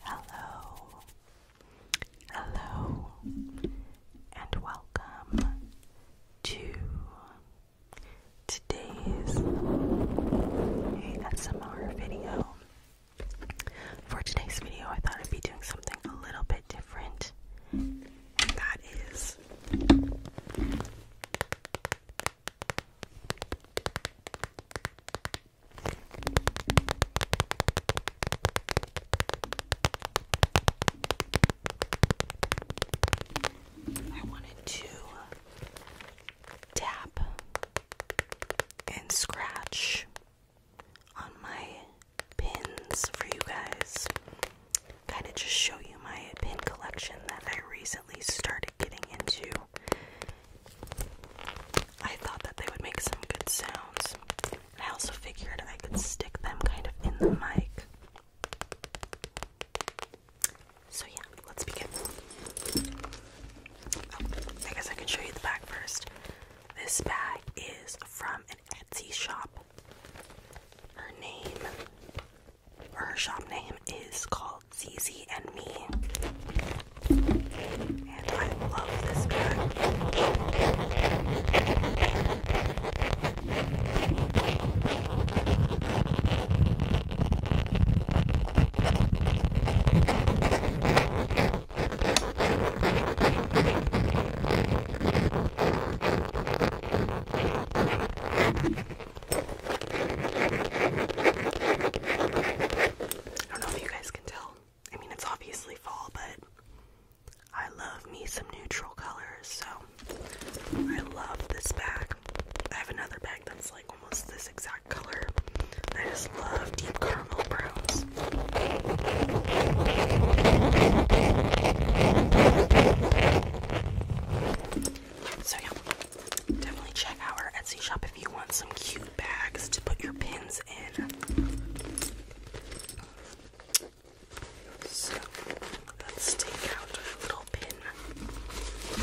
Hello, hello, and welcome to today's ASMR video. For today's video, I thought I'd be doing something a little bit different, that is I wanted to tap and scratch on my pins for you guys. Kind of just show you my pin collection that I recently started getting into. I thought that they would make some good sounds. I also figured I could stick them kind of in the mic. So, yeah, let's begin. Oh, I guess I can show you the bag first. This bag is from an Etsy shop. Her name, or her shop name, is called ZZ and me. And I love this bag. I don't know if you guys can tell. I mean, it's obviously fall, but I love me some neutral colors, so I love this bag. I have another bag that's like almost this exact color. I just love deep caramel browns. So, yeah, definitely check out our Etsy shop if you want some cute bags to put your pins in. So let's take out our little pin mat.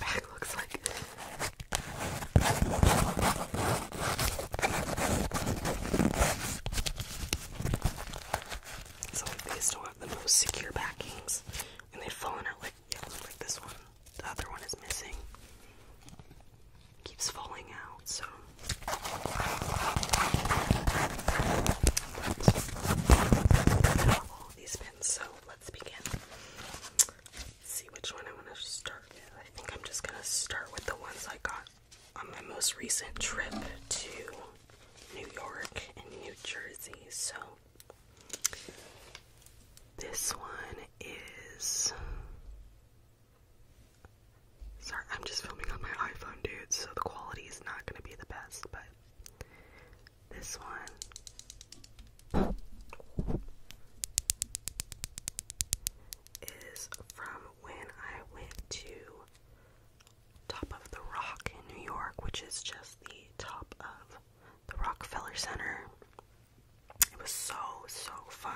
bag looks these don't have the most secure backings, and they've fallen out like yeah, like this one. The other one is missing. Keeps falling out, so. these pins, so let's begin. see which one I want to start I think I'm just going to start with the ones I got on my most recent trip to New York and New Jersey. So, this one is. Sorry, I'm just filming on my iPhone, dude, so the quality is not going to be the best, but this one is from when I went to Top of the Rock in New York, which is just the top of the Rockefeller Center. It was so, so fun.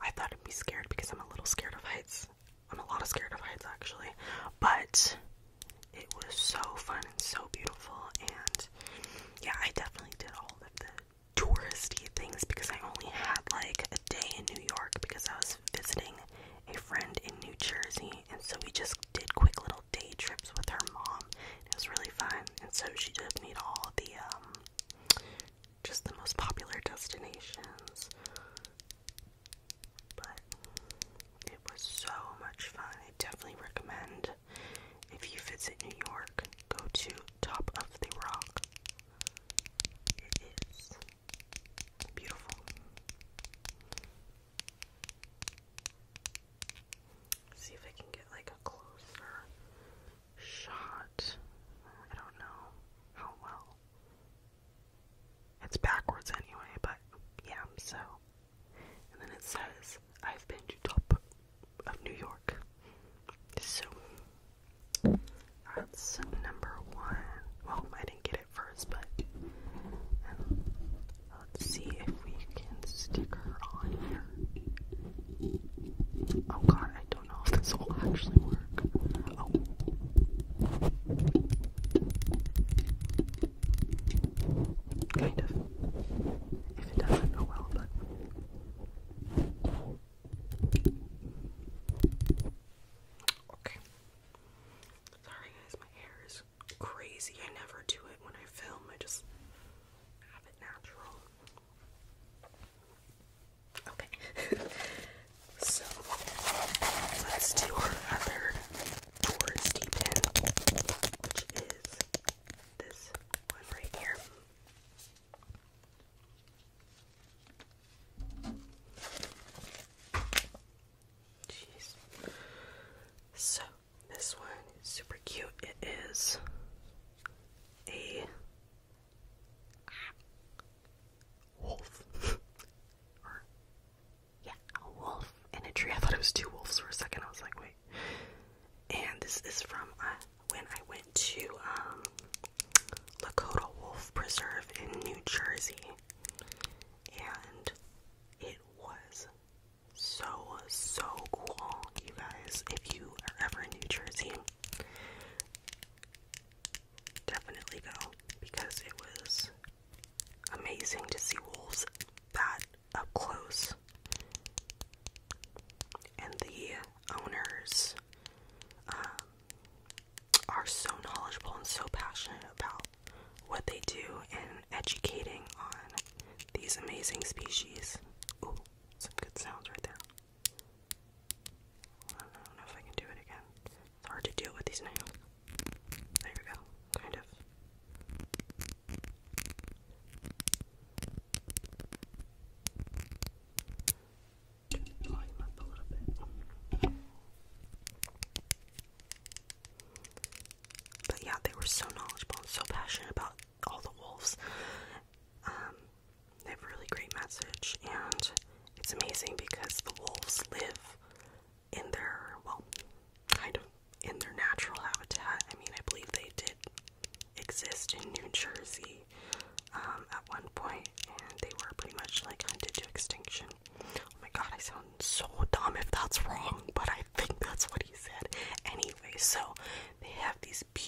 I thought I'd be scared because I'm a little scared of heights. I'm a lot of scared of heights actually, but it was so fun and so beautiful. And yeah, I definitely did all of the touristy things because I only had like a day in New York because I was visiting a friend in New Jersey. And so we just did quick little day trips with her mom. It was really fun. And so she did meet to all the, um, just the most popular destinations. But it was so much fun. I definitely recommend if you visit New York, go to Top of the Rock. It is beautiful. see if I can get like a closer shot. I don't know how well. It's backwards anyway, but yeah, so and then it says, I've been to top of New York. So that's number one. Well, I didn't get it first, but um, let's see if we can stick her on here. Oh god, I don't know if this will actually work. Oh. Kind of. If it doesn't, oh well, but. Okay. Sorry guys, my hair is crazy. I never do it when I film, I just have it natural. Okay. so, let's do our other touristy pin, which is this one right here. Jeez. So, this one is super cute. It is a wolf Yeah, a wolf in a tree. I thought it was two wolves for a second. I was like, wait. And this is from uh, when I went to um, Lakota Wolf Preserve in New Jersey. And it was so, so cool, you guys. If you are ever in New Jersey, definitely go because it was amazing to see wolves that up close. And the owners um, are so knowledgeable and so passionate about what they do in educating on these amazing species. Ooh, some good sounds right there. I don't know if I can do it again. It's hard to do with these nails. There we go, kind of. Turn the up a little bit. But yeah, they were so knowledgeable and so passionate about all the wolves. Um, they have a really great message, and it's amazing because the wolves live in their well, kind of in their natural habitat. I mean, I believe they did exist in New Jersey um, at one point, and they were pretty much like hunted to extinction. Oh my god, I sound so dumb if that's wrong, but I think that's what he said. Anyway, so they have these be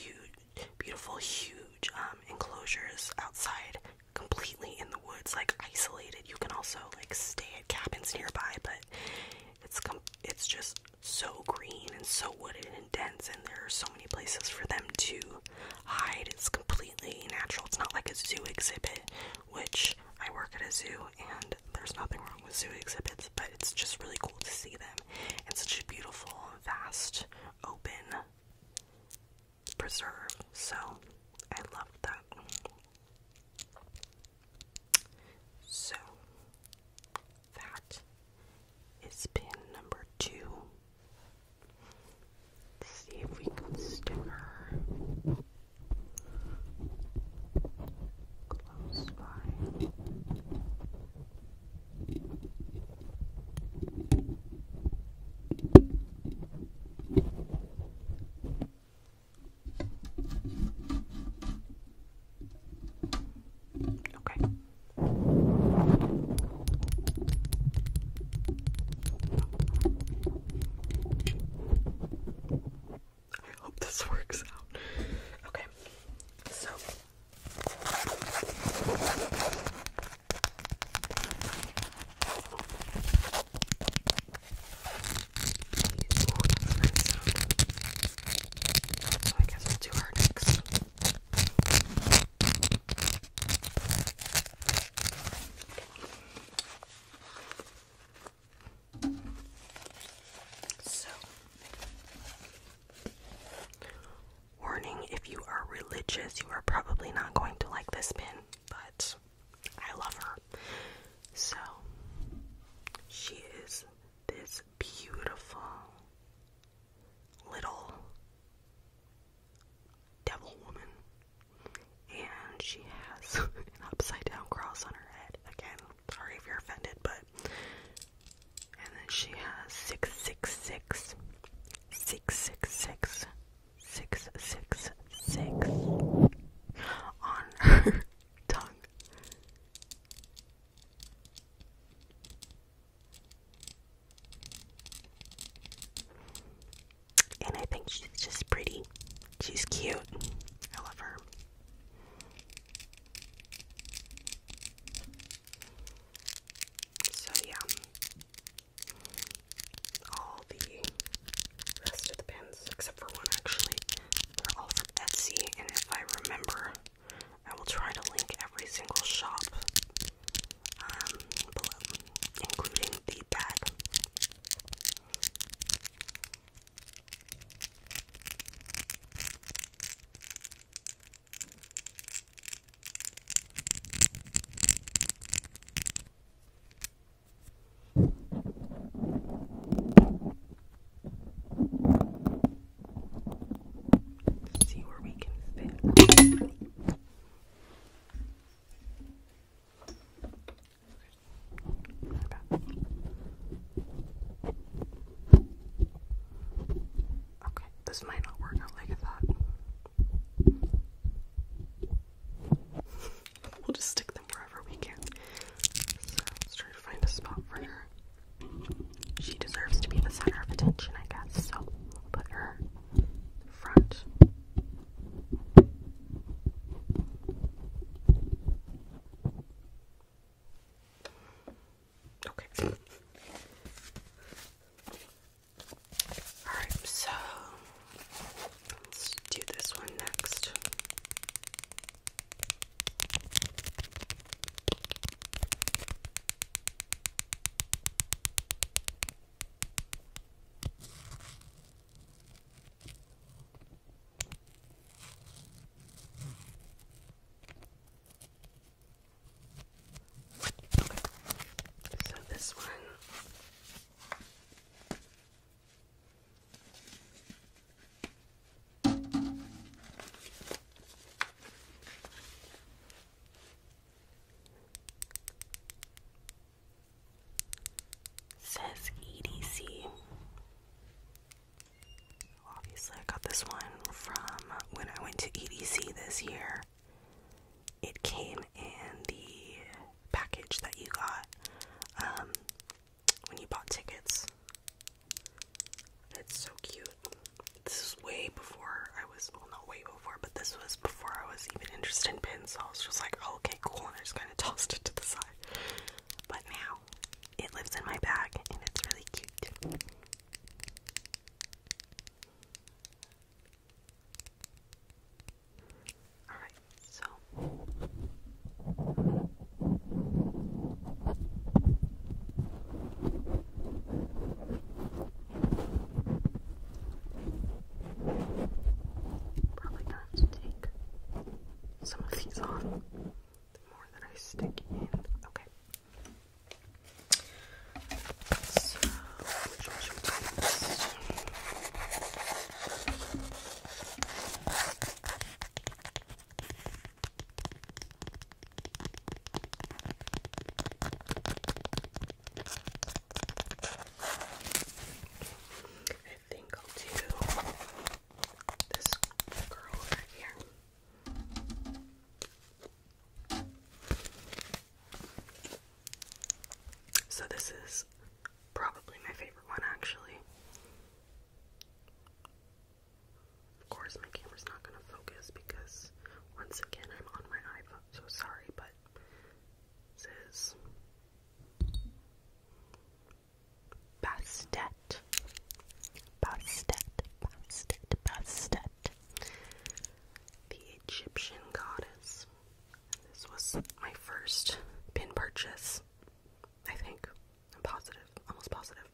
beautiful, huge um, enclosures outside, completely in the woods, like isolated. You can also like stay at cabins nearby, but it's com it's just so green and so wooded and dense, and there are so many places for them to hide. It's completely natural. It's not like a zoo exhibit, which I work at a zoo, and there's nothing wrong with zoo exhibits, but it's just really cool to see them. It's such a beautiful, vast, open preserve. So I love that. So that is pin number 2 see if we can stick her close by. Okay. I hope this works out. Okay, so so I guess we'll do her next. So, warning if you are religious, you are probably not going to like this pin but I love her. So she is this beautiful little devil woman, and she has an upside down cross on her head. Again, sorry if you're offended, but and then she has six six six six six six six six six on her tongue. And I think she's just pretty. She's cute. I love her. So, yeah. All the rest of the pen ones, except for one actually. They're all from Etsy, and if I remember, I will try to link every single shop um, below, including the bag see where we can fit. Okay, this might not work out like I thought. we'll just stick them right. She deserves to be the center of attention, I guess. So put her front. Okay. Alright, so Let's do this one next. So this one Says EDC. Obviously, I got this one from when I went to EDC this year. It came in the package that you got. Um, when you bought tickets. It's so cute. This is way before I was, well, not way before, but this was before I was even interested in pins. So I was just like, oh, okay, cool, and I just kind of tossed it to the side. But now it lives in my bag, and it's really cute. Alright, so probably gonna take some of these on. The more that I stick in. Okay. So, I think I'll do this girl over here. So, this is Probably my favorite one, actually. Of course, my camera's not gonna focus because, once again, I'm on my iPhone, so sorry, but this is Bastet. Bastet, Bastet, Bastet. The Egyptian goddess. This was my first pin purchase. I think. I'm positive, almost positive.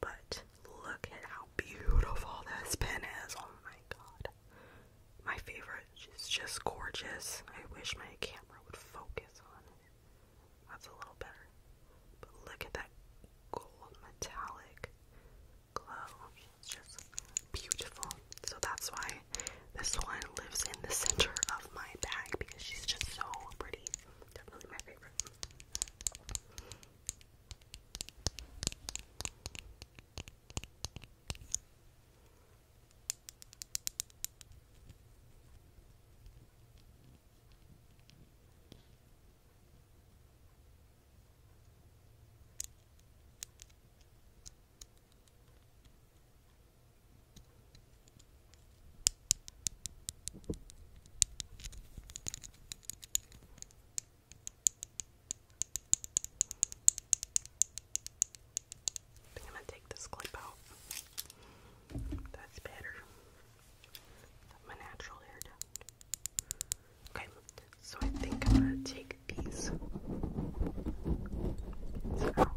But look at how beautiful this pen is. Oh my god. My favorite. She's just gorgeous. I wish my camera would focus on it. That's a little better. But look at that gold metallic glow. It's just beautiful. So that's why this one lives in the center of my bag because she's just so pretty. Definitely my favorite. I think am gonna take this clip out. That's better. my natural hair Okay, so I think I'm gonna take big piece. It's out.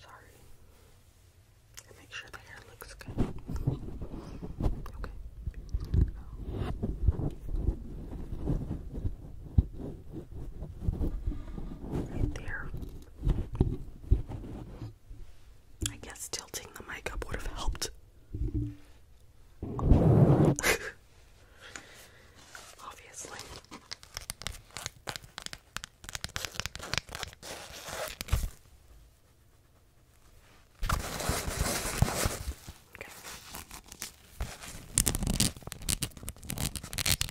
Sorry. make sure the hair looks good. Okay. Right there. I guess tilting the mic up would have helped. obviously. Okay.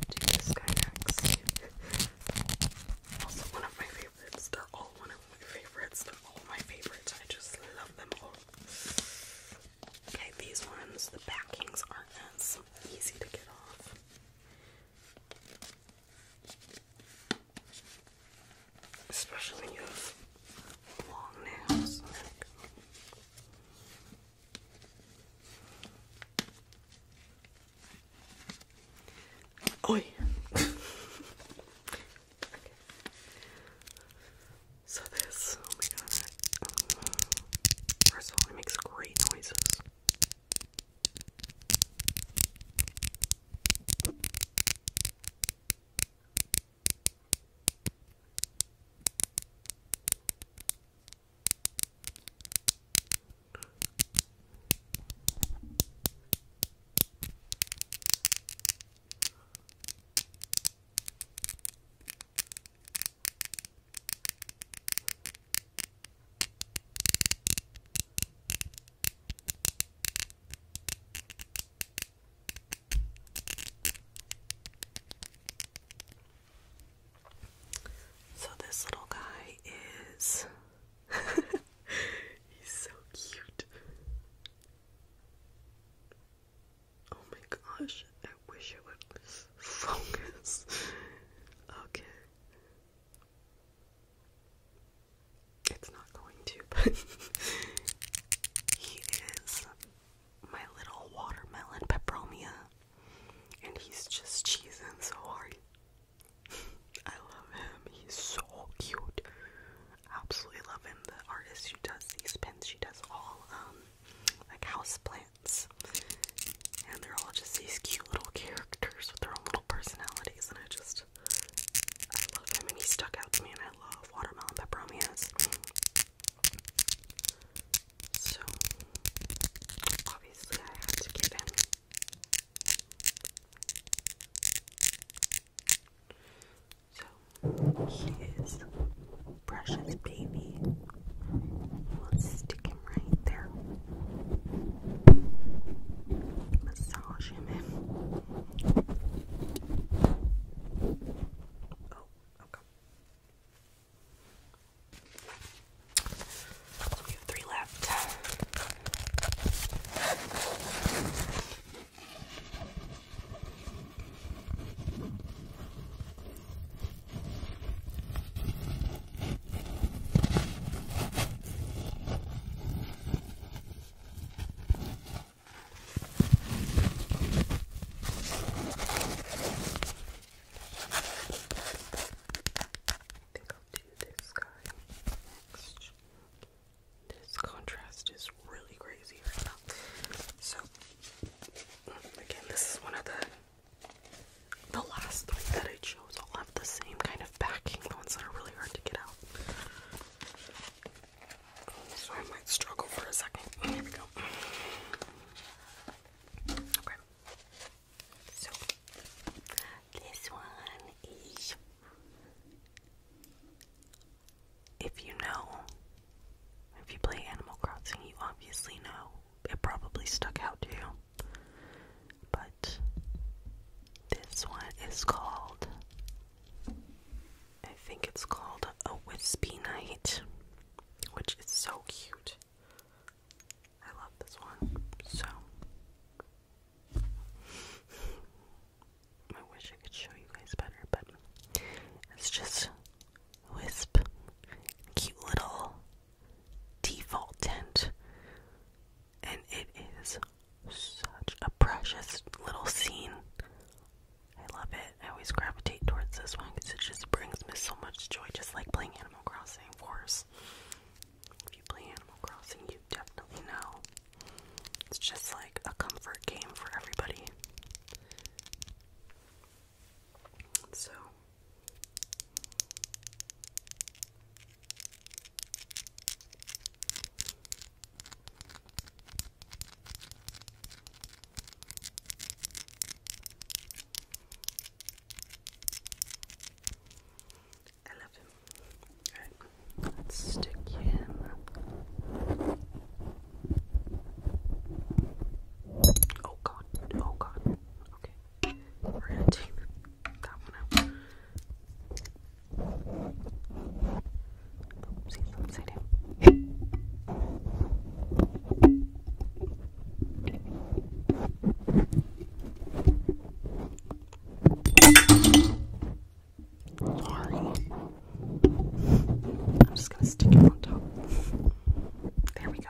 Do this guy next. also, one of my favorites. They're all one of my favorites. They're all my favorites. I just love them all. Okay, these ones, the backings aren't as so easy to get off. Especially when you have long nails. Like. Oi! So this Oh First of all, it makes great noises. So, this little guy is. He's so cute. Oh my gosh, I wish I would focus. okay. It's not going to, he is my little watermelon peperomia, and he's just cheesing so hard. I love him. He's so cute. Absolutely love him. The artist who does these pins, she does all um like house and they're all just these cute little characters with their own little personalities, and I just I love him, and he stuck out to me, and I love watermelon peperomias. So obviously, I had to give him. So he is precious baby. Let's stick him right there. Massage him Oh, okay. we have three left think I'll do this guy next. This contrast is really crazy right now. So, again, this is one of the the last three that I chose all have the same kind of backing, the ones that are really hard to get out. So I might struggle for a second. Oh, here we go. Okay. So this one is if you know, if you play Animal Crossing, you obviously know it probably stuck out to you. But this one is called, I think it's called A Wispy Night, which is so cute. I love this one so. I wish I could show you guys better, but it's just Wisp. Cute little default tint. And it is such a precious little scene. I love it. I always gravitate towards this one because it just brings me so much joy, just like playing Animal Crossing, of course. If you play Animal Crossing, you definitely know. It's just like a comfort game for everybody. So I love him. Alright, let's stick him Oh god, oh god. Okay. We're going that one out. Oopsie, oopsie Sorry. I'm just gonna stick it on top. There we go.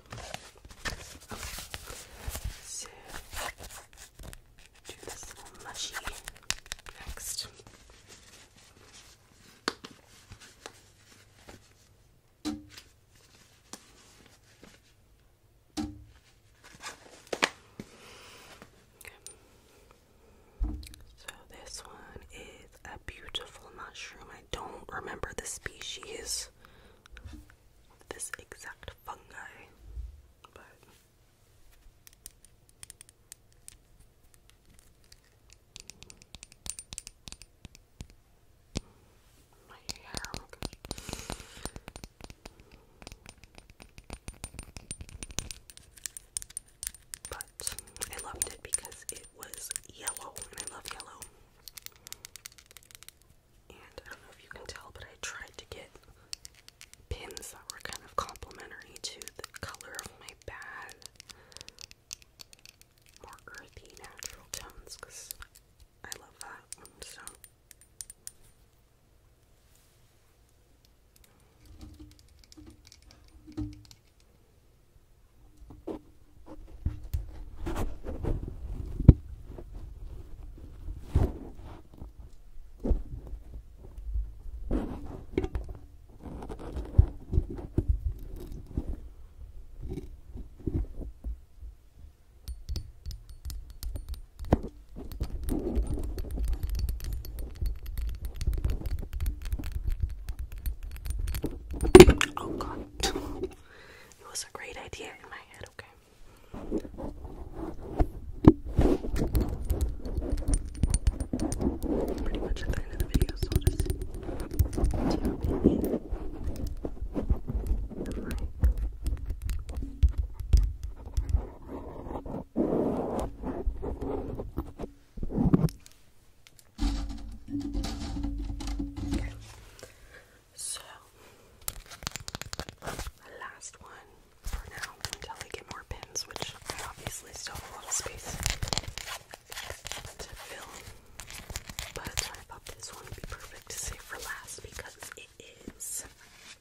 So do this little mushy next. Okay. So this one is a beautiful mushroom. I don't remember the species this exact fungi, but my hair, oh But I loved it because it was yellow, and I love yellow. And I don't know if you can tell, but I tried to get pins that were kind of complementary to the color of my bag. More earthy, natural tones, because I love that. So. Oh god. it was a great idea in my head, okay? Pretty much at the end of the video, so I'll just do a pinch of my Okay. So, last one for now until I get more pins, which I obviously still have space to fill. But I thought this one would be perfect to save for last because it is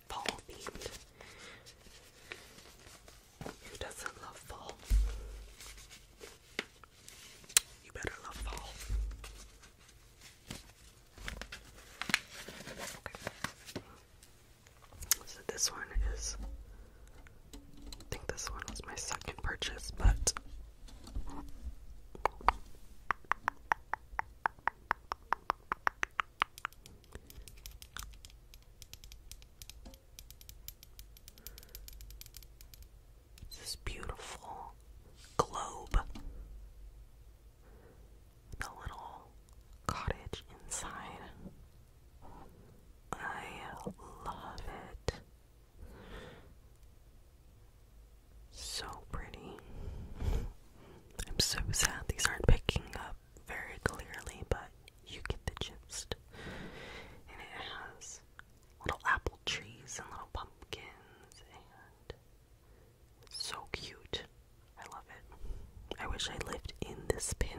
fall themed. Who doesn't love fall? You better love fall. So this one is I think this one was my second purchase, but this beautiful globe the little cottage inside. I love it. So pretty. I'm so sad these aren't picking up very clearly, but you get the gist. And it has little apple trees and little pumpkins and so cute. I love it. I wish I lived in this pin.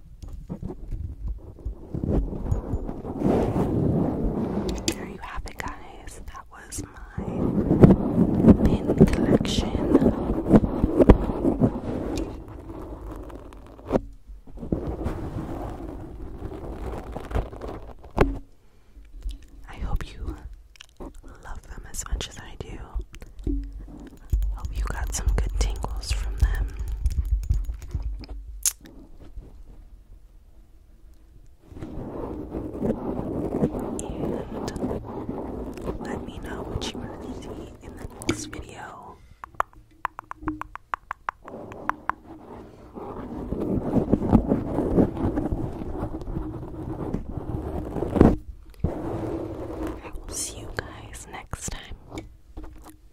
There you have it, guys. That was my pin collection. I hope you love them as much as I do. Hope you got some good tingles from them let me know what you want to see in the next video. I will see you guys next time.